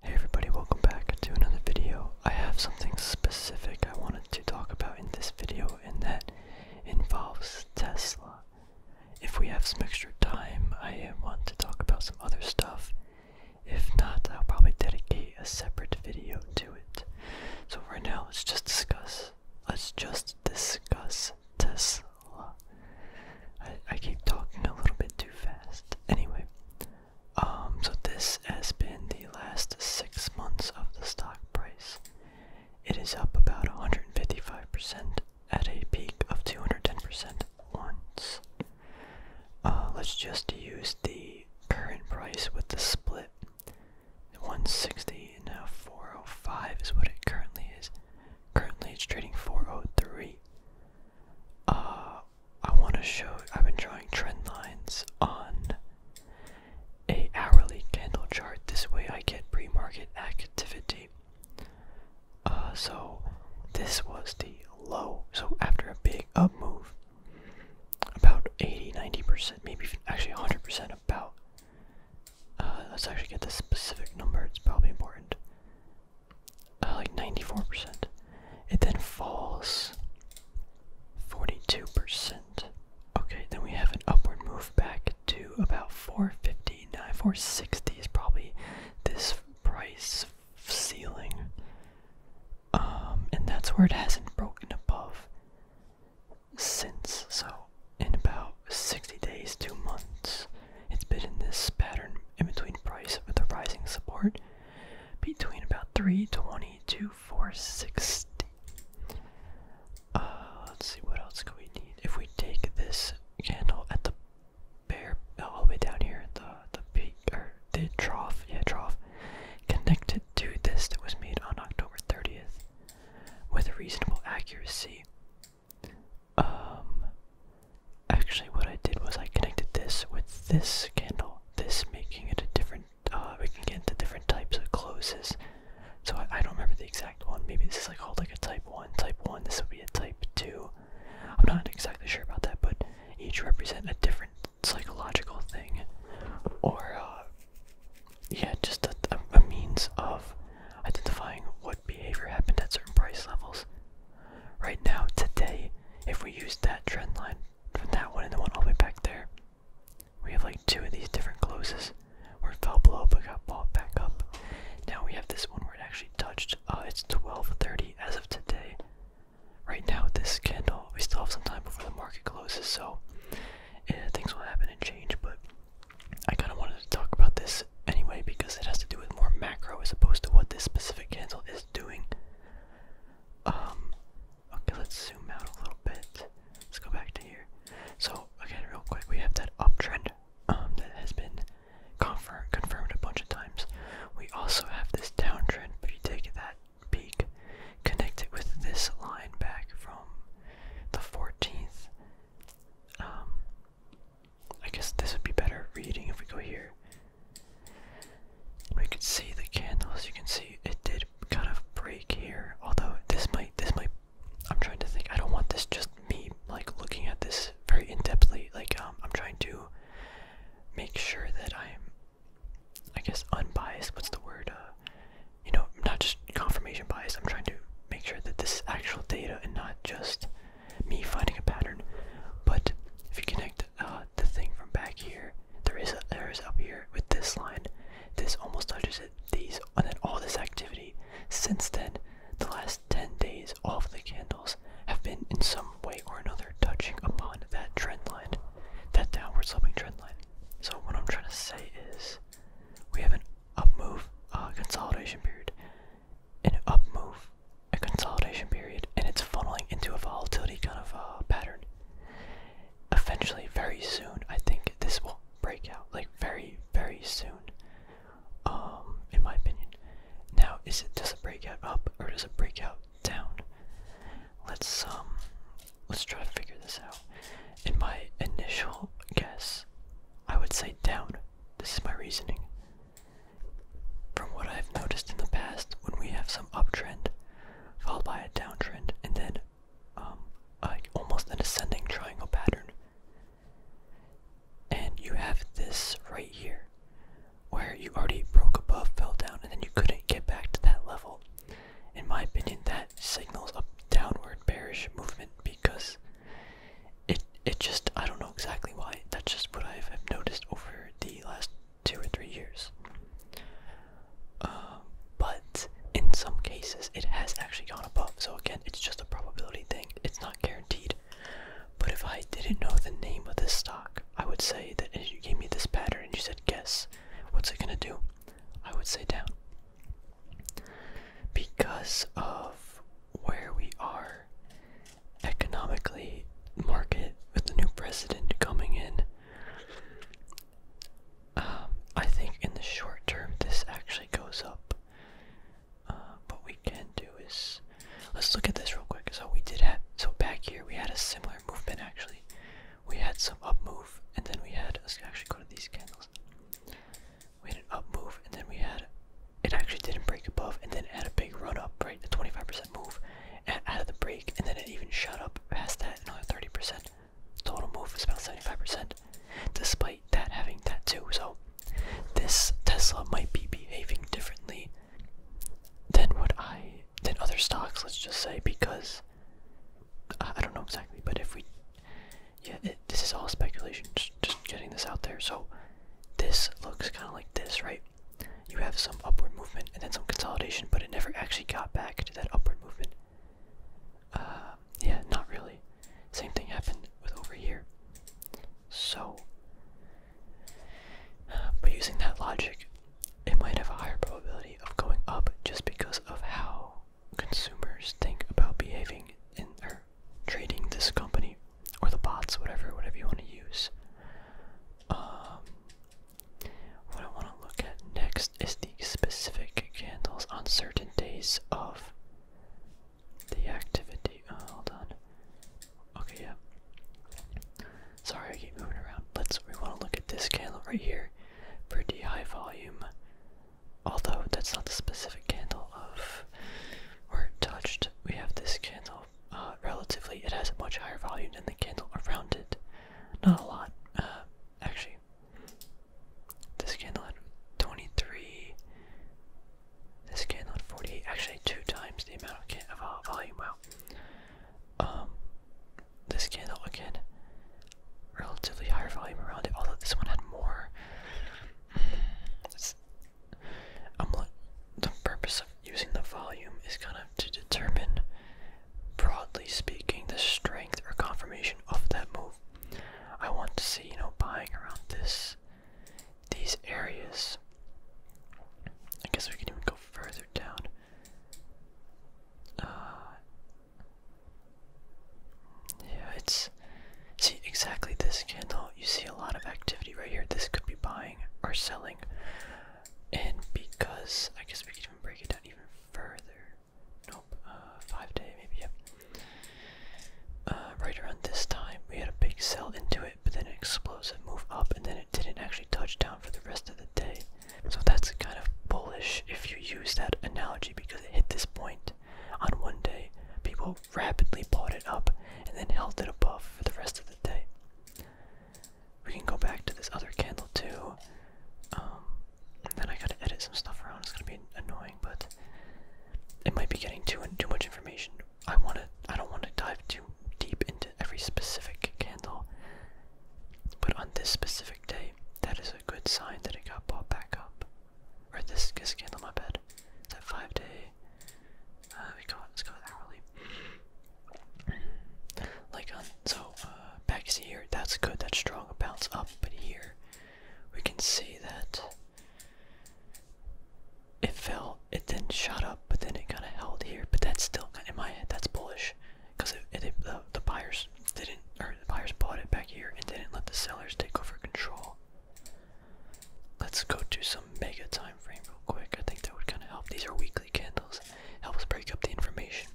Hey everybody, welcome back to another video. I have something specific I wanted to talk about in this video and that involves Tesla. If we have some extra time, I want to talk about some other stuff. If not, I'll probably dedicate a separate video to it. So right now, let's just discuss. Let's just discuss Tesla. I, I keep talking a little bit too fast. Anyway, um, so this has been the last six months of the stock price. It is up about 155% at a peak of 210% once. Uh, let's just use the current price with the split. 160 and now 405 is what it currently is. Currently it's trading 403. Uh, I want to show, I've been drawing trend lines on a hourly candle chart. This way I get pre-market activity. Uh, so this was the low. So after a big up move, about 80, 90%, maybe even actually 100% about, uh, let's actually get the specific number. It's probably important like 94%. It then falls 42%. Okay, then we have an upward move back to about 450, 460 is probably this price ceiling. Um, and that's where it hasn't broken above since. So, in about 60 days, two months, it's been in this pattern in between price with the rising support between about 320 to 460. Uh, let's see what else we need. If we take this candle at the bear all the way down here, the the peak or the trough, yeah trough, connected to this that was made on October 30th with a reasonable accuracy. Um, Actually, what I did was I connected this with this candle, this making it a different, uh, can get the different types of closes. So I, don't remember the exact one. Maybe this is like called like a type one, type one. This would be a type two. I'm not exactly sure about that, but each represent a different psychological thing, or uh, yeah, just a means of identifying what behavior happened at certain price levels. Right now, today, if we use that trend line from that one and the one all the way back there, we have like two of these different closes where it fell below but got bought back up. Now we have this one where it actually touched. Uh, it's 12:30 as of today. Right now, this candle, we still have some time before the market closes, so eh, things will happen and change. But I kind of wanted to talk about this anyway because it has to do with more macro as opposed to what this specific candle is doing. Um, okay, let's zoom out a little bit. Let's go back to here. So, again, real quick, we have that uptrend um, that has been confirmed, confirmed a bunch of times. We also have this downtrend, but you take that peak, connect it with this line back from the 14th. Um, I guess this would be better reading if we go here. We can see the candles. You can see it did kind of break here. Although this might, this might. I'm trying to think. I don't want this just me like looking at this very in depthly. Like um, I'm trying to make sure that I'm, I guess, unbiased. What's the word? Uh, you know, not just confirmation bias. I'm trying to make sure that this is actual data and not just me finding a pattern. But if you connect uh, the, thing from back here. There is a, there is up here with this line. This almost touches it. These and then all this activity. Since then, the last ten days, all of the candles have been in some way or another touching upon that trend line, that downward sloping trend line. So what I'm trying to say is, we have an up move uh, consolidation period, an up move a consolidation period and it's funneling into a volatility kind of uh, pattern. Eventually, very soon, I think this will break out. Like very, very soon. Um, in my opinion. Now, is it does it break out up or does it break out down? Let's um, let's try to figure this out. In my initial guess, I would say down. This is my reasoning. From what I've noticed in the past, when we have some uptrend followed by a downtrend, and then um, like almost an ascending triangle pattern, and you have this right here, where you already broke above, fell down, and then you couldn't get back to that level. In my opinion, that signals a downward bearish movement because it it just I don't know exactly why. That's just what I have noticed over the last two or three years. Um, but in some cases, it has actually gone above. So again, it's just a probability thing. It's not guaranteed. But if I didn't know the name of this stock, I would say that if you gave me this pattern and you said, guess, what's it gonna do? I would say down. Because of where we are economically market with the new president coming in. Um, I think in the short term this actually goes up. Uh, what we can do is let's look at this real quick. So we did have so back here we had a similar movement actually. We had some up move and then we had actually go to these candles. We had an up move and then we had it actually didn't break above and then had a big run up, right? A 25% move out of the break, and then it even shot up past that another 30%. Total move was about 75%, despite that having that too. So this Tesla might be behaving differently than what I than other stocks. Let's just say because I, don't know exactly, but if we yeah, this is all speculation. just getting this out there. So this looks kind of like this, right? you have some upward movement and then some consolidation, but it never actually got back to that upward movement. Uh, yeah, not really. Same thing happened with over here. So, but using that logic, it might have a higher probability of going up just because of how consumers think about behaving in or trading this company or the bots, whatever, whatever you want to use. Um, what I want to look at next is the specific candles on certain days of the activity. Uh, hold on. Okay, yeah. Sorry, I keep moving around. Let's. We want to look at this candle right here. Pretty high volume. Although that's not the specific candle of where it touched. We have this candle uh, relatively, it has a much higher volume than the candle around it. Not a lot, uh, actually. This candle had 23. This candle had 48. Actually, two times the amount of, uh, volume. Well, um, this candle again, relatively higher volume around it. Although this one had more. I'm. The purpose of using the volume is kind of to determine, broadly speaking, the strength or confirmation of that move. I want to see, you know, buying around this, these areas. I guess we can even go further down. Uh, yeah, it's see exactly this candle. You see a lot of activity right here. This could be buying or selling. And because I guess we can even break it down even further. Nope, uh, five day maybe. Uh, right around this time, we had a big sell into it, but then an explosive move up, and then it didn't actually touch down for the rest of the day. So that's kind of bullish if you use that analogy because it hit this point on one day. People rapidly bought it up and then held it above for the rest of the day. We can go back to this other candle too. Um, then I gotta edit some stuff around. It's gonna be annoying, but it might be getting too too much information. I want to. I don't want to dive too deep into every specific candle. But on this specific day, that is a good sign that it got bought back up. Or this, this candle, my bed. That five day uh, we got let's go hourly. Like on um, so uh, back see here. That's good. That's strong. bounce up, but here we can see that it fell. It then shot up, but then it kind of held here. But that's still in my head. That's bullish because the buyers didn't or the buyers bought it back here and didn't let the sellers take over control. Let's go to some mega time frame real quick. I think that would kind of help. These are weekly candles helps break up the information.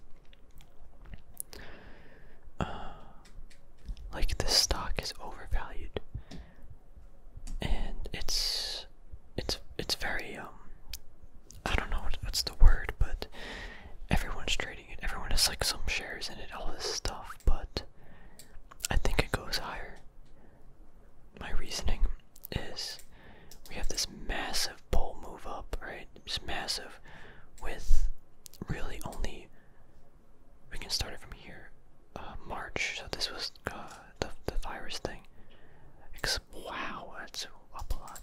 Uh, like the stock is overvalued, and it's it's it's very um I don't know what's the word, but everyone's trading it. Everyone has like some shares in it, all this stuff, but I think it goes higher. My reasoning is we have this massive pull move up, right? It's massive with really only we can start it from here. Uh, March, so this was uh, the, the virus thing. Except, wow, that's up a lot.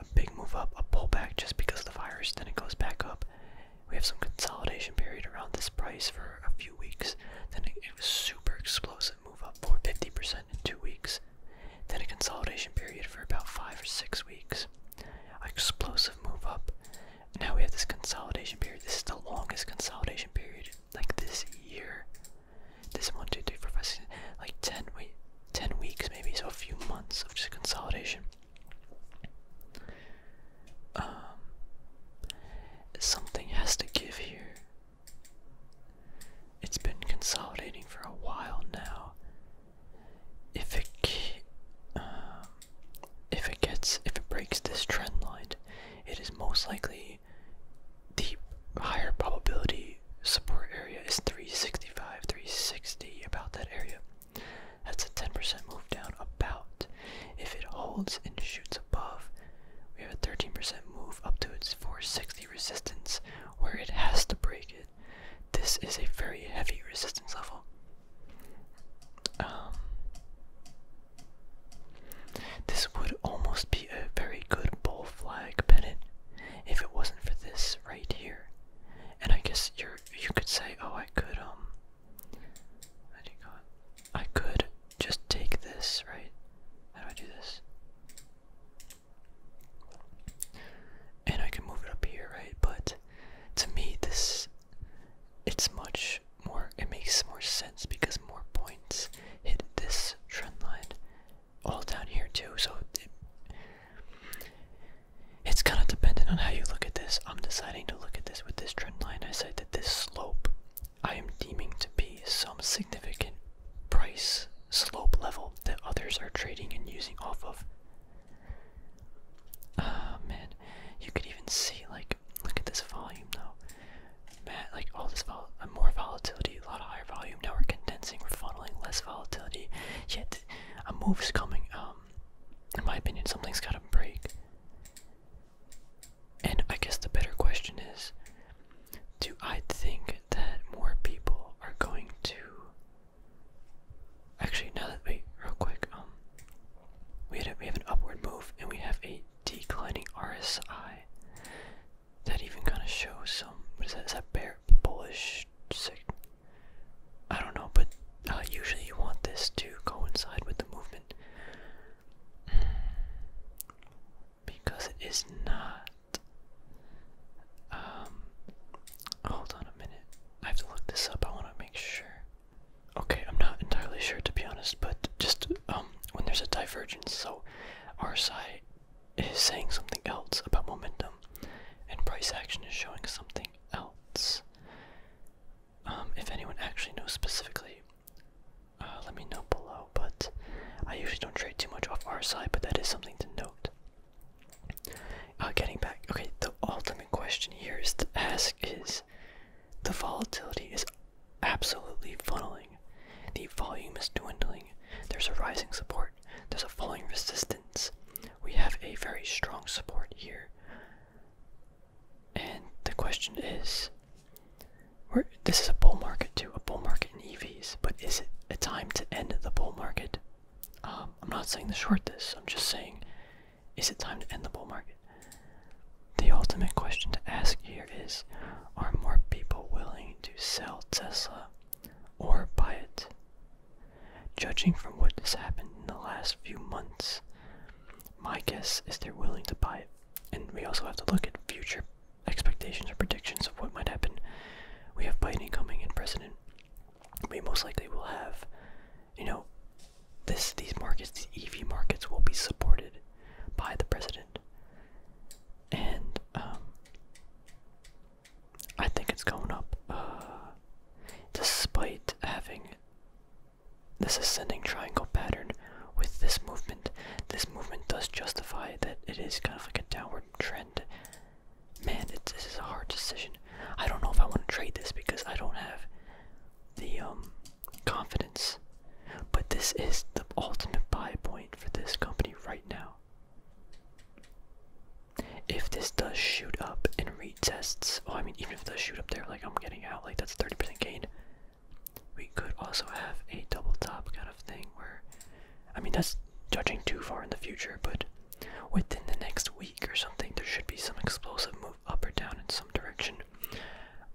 A big move up, a pullback just because of the virus, then it goes back up. We have some consolidation period around this price for a few weeks, then it was super explosive move up for 50% in two weeks, then a consolidation period for about five or six weeks. explosive move up. Now we have this consolidation period. This is the longest consolidation period, like this year. This is one, two, three, four, five, six, like ten, wait, ten weeks maybe. So a few months of just consolidation. Um, something has to give here. It's been consolidating for a while now. If it um, if it gets if it breaks this trend line, it is most likely the higher probability support area is 365, 360 about that area. That's a 10% move down about. If it holds and shoots above, we have a 13% move up to its 460 resistance where it has to break it. This is a very heavy resistance level. Um, this would almost be a very good bull flag pennant if it wasn't for this right here. And I guess you are you could say, oh, I could um, I could just take this right. How do I do this? and I can move it up here, right? But to me, this it's much more. It makes more sense because more points hit this trend line, all down here too. So it, it's kind of dependent on how you look at this. I'm deciding to look at this with this trend line. I said that this slope I am deeming to be some significant price slope level that others are trading and using off of. Ah man, you could even see like look at this volume though. like all this vol uh, more volatility, a lot of higher volume. Now we're condensing, we're funneling less volatility. Yet a move's coming. Um, in my opinion, something's got to break. And I guess the better question is, do I think that more people are going to actually now that wait real quick um we had we have an upward move and we have a declining RSI that even kind of shows some what is that is that bear bullish sick I don't know but uh, usually you want this to coincide with the movement because it is not. Um, hold on a minute. I have to look this up. I want to make sure. Okay, I'm not entirely sure to be honest, but just um, when there's a divergence, so RSI is saying something else about momentum, and price action is showing something else. Um, if anyone actually knows specifically uh, let me know below. But I usually don't trade too much off our side, but that is something to note. Uh, getting back, okay, the ultimate question here is to ask is the volatility is absolutely funneling. The volume is dwindling. There's a rising support. There's a falling resistance. We have a very strong support here. And the question is this is a bull market too, a bull market in EVs. But is it a time to end the bull market? Um, I'm not saying to short this. I'm just saying, is it time to end the bull market? The ultimate question to ask here is, are more people willing to sell Tesla or buy it? Judging from what has happened in the last few months, my guess is they're willing to buy it. And we also have to look at future expectations or predictions of what might happen. We have Biden coming in president. We most likely will have, you know, this these markets, these EV markets, will be supported by the president, and um, I think it's going up, uh, despite having this ascending triangle pattern with this movement. This movement does justify that it is kind of like a downward trend. Man, this is a hard decision. I don't know if I want to trade this because I don't have the um, confidence. But this is the ultimate buy point for this company right now. If this does shoot up and retests, oh, I mean, even if it does shoot up there, like I'm getting out, like that's 30% gain. We could also have a double top kind of thing where I mean, that's judging too far in the future, but within the next week or something, there should be some explosive move up or down in some direction.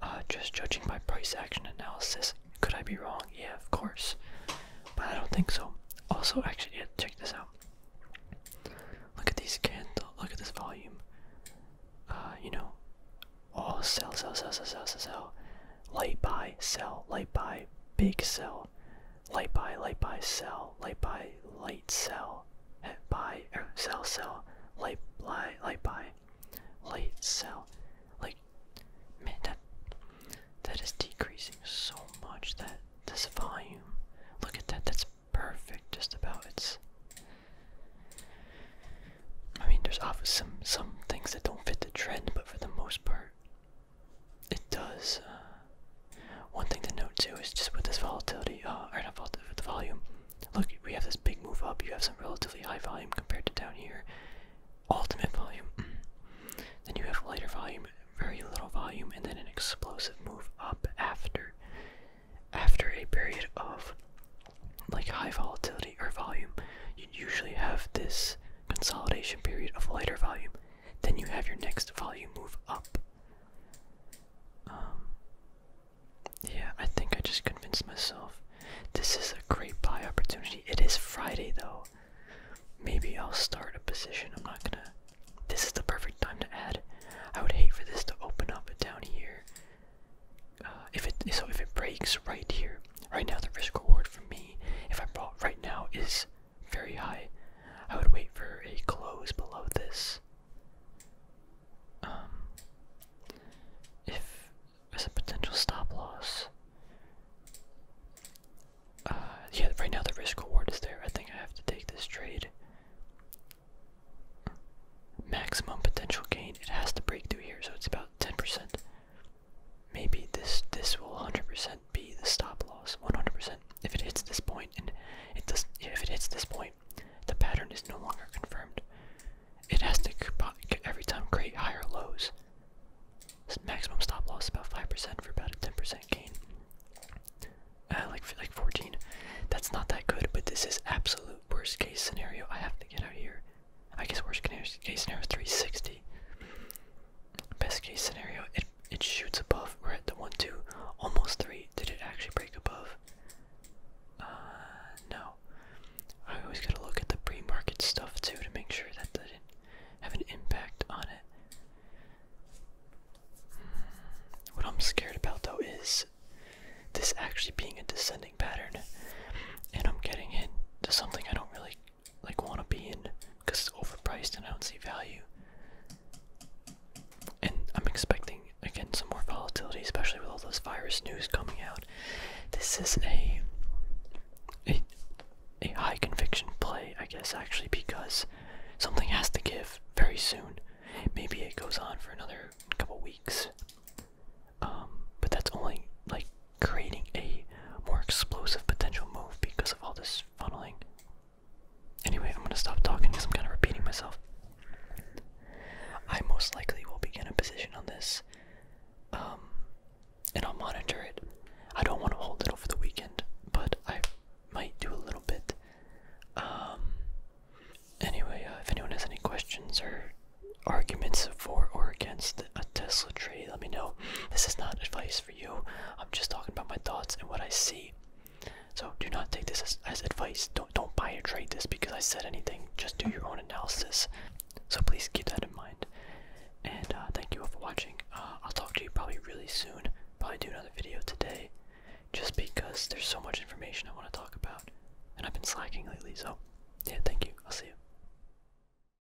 Uh, just judging by price action analysis, could I be wrong? Yeah, of course, but I don't think so. Also, actually, yeah, check this out. Look at these candles. Look at this volume. Uh, you know, all sell, sell, sell, sell, sell, sell, sell. Light buy, sell, light buy, big sell, light buy, light buy, sell, light buy, light sell, buy, er, sell, sell, light buy, light buy, light sell. Like, man, that that is decreasing so much. That this volume, look at that. That's perfect. Just about it's. I mean, there's obviously some some things that don't fit the trend, but for the most part, it does. Uh, one thing to note too is just with this volatility, uh, or not volatility, the volume. Look, we have this big move up. You have some relatively high volume compared to down here. Ultimate volume. Mm. then you have lighter volume, very little volume, and then an explosive move up after, after a period of like high volatility or volume. You usually have this consolidation period of lighter volume, then you have your next volume move up. Um, yeah, I think I just convinced myself this is a great buy opportunity. It is Friday though. Maybe I'll start a position. I'm not gonna. This is the perfect time to add. I would hate for this to open up down here. Uh, if it so, if it breaks right here, Right now, the risk reward for me, if I bought right now, is very high. I would wait for a close below this. Um, if there's a potential stop loss. Uh, yeah, right now the risk reward is there. I think I have to take this trade. Maximum potential gain. It has to break through here, so it's about 10% maybe this this will 100% be the stop loss 100% if it hits this point and it does if it hits this point the pattern is no longer confirmed it has to every time create higher lows maximum stop loss about 5% for about a 10% gain uh, like like 14 that's not that good but this is absolute worst case scenario i have to get out here i guess worst case scenario 360 Best case scenario, it it shoots above. We're at the one, two, almost three. Did it actually break above? Uh, no. I always gotta look at the pre-market stuff too to make sure that didn't have an impact on it. Hmm. What I'm scared about though is this actually being a descending pattern, and I'm getting into something I don't really like want to be in because it's overpriced and I don't see value. And I'm expecting again some more volatility, especially with all those virus news coming out. This is a a, a high conviction play, I guess, actually, because something has to give very soon. Maybe it goes on for another couple weeks, um, but that's only like creating a more explosive potential move because of all this funneling. Anyway, I'm gonna stop talking because I'm kind of repeating myself. I most likely will begin a position on this, um, and I'll monitor it. I don't want to hold it over the weekend, but I might do a little bit. Um, anyway, uh, if anyone has any questions or arguments for or against a Tesla trade, let me know. This is not advice for you. I'm just talking about my thoughts and what I see. So do not take this as, advice. Don't don't buy or trade this because I said anything. Just do your own analysis. So please keep that in mind. And uh, thank you all for watching. Uh, I'll talk to you probably really soon. Probably do another video today, just because there's so much information I want to talk about, and I've been slacking lately. So yeah, thank you. I'll see you.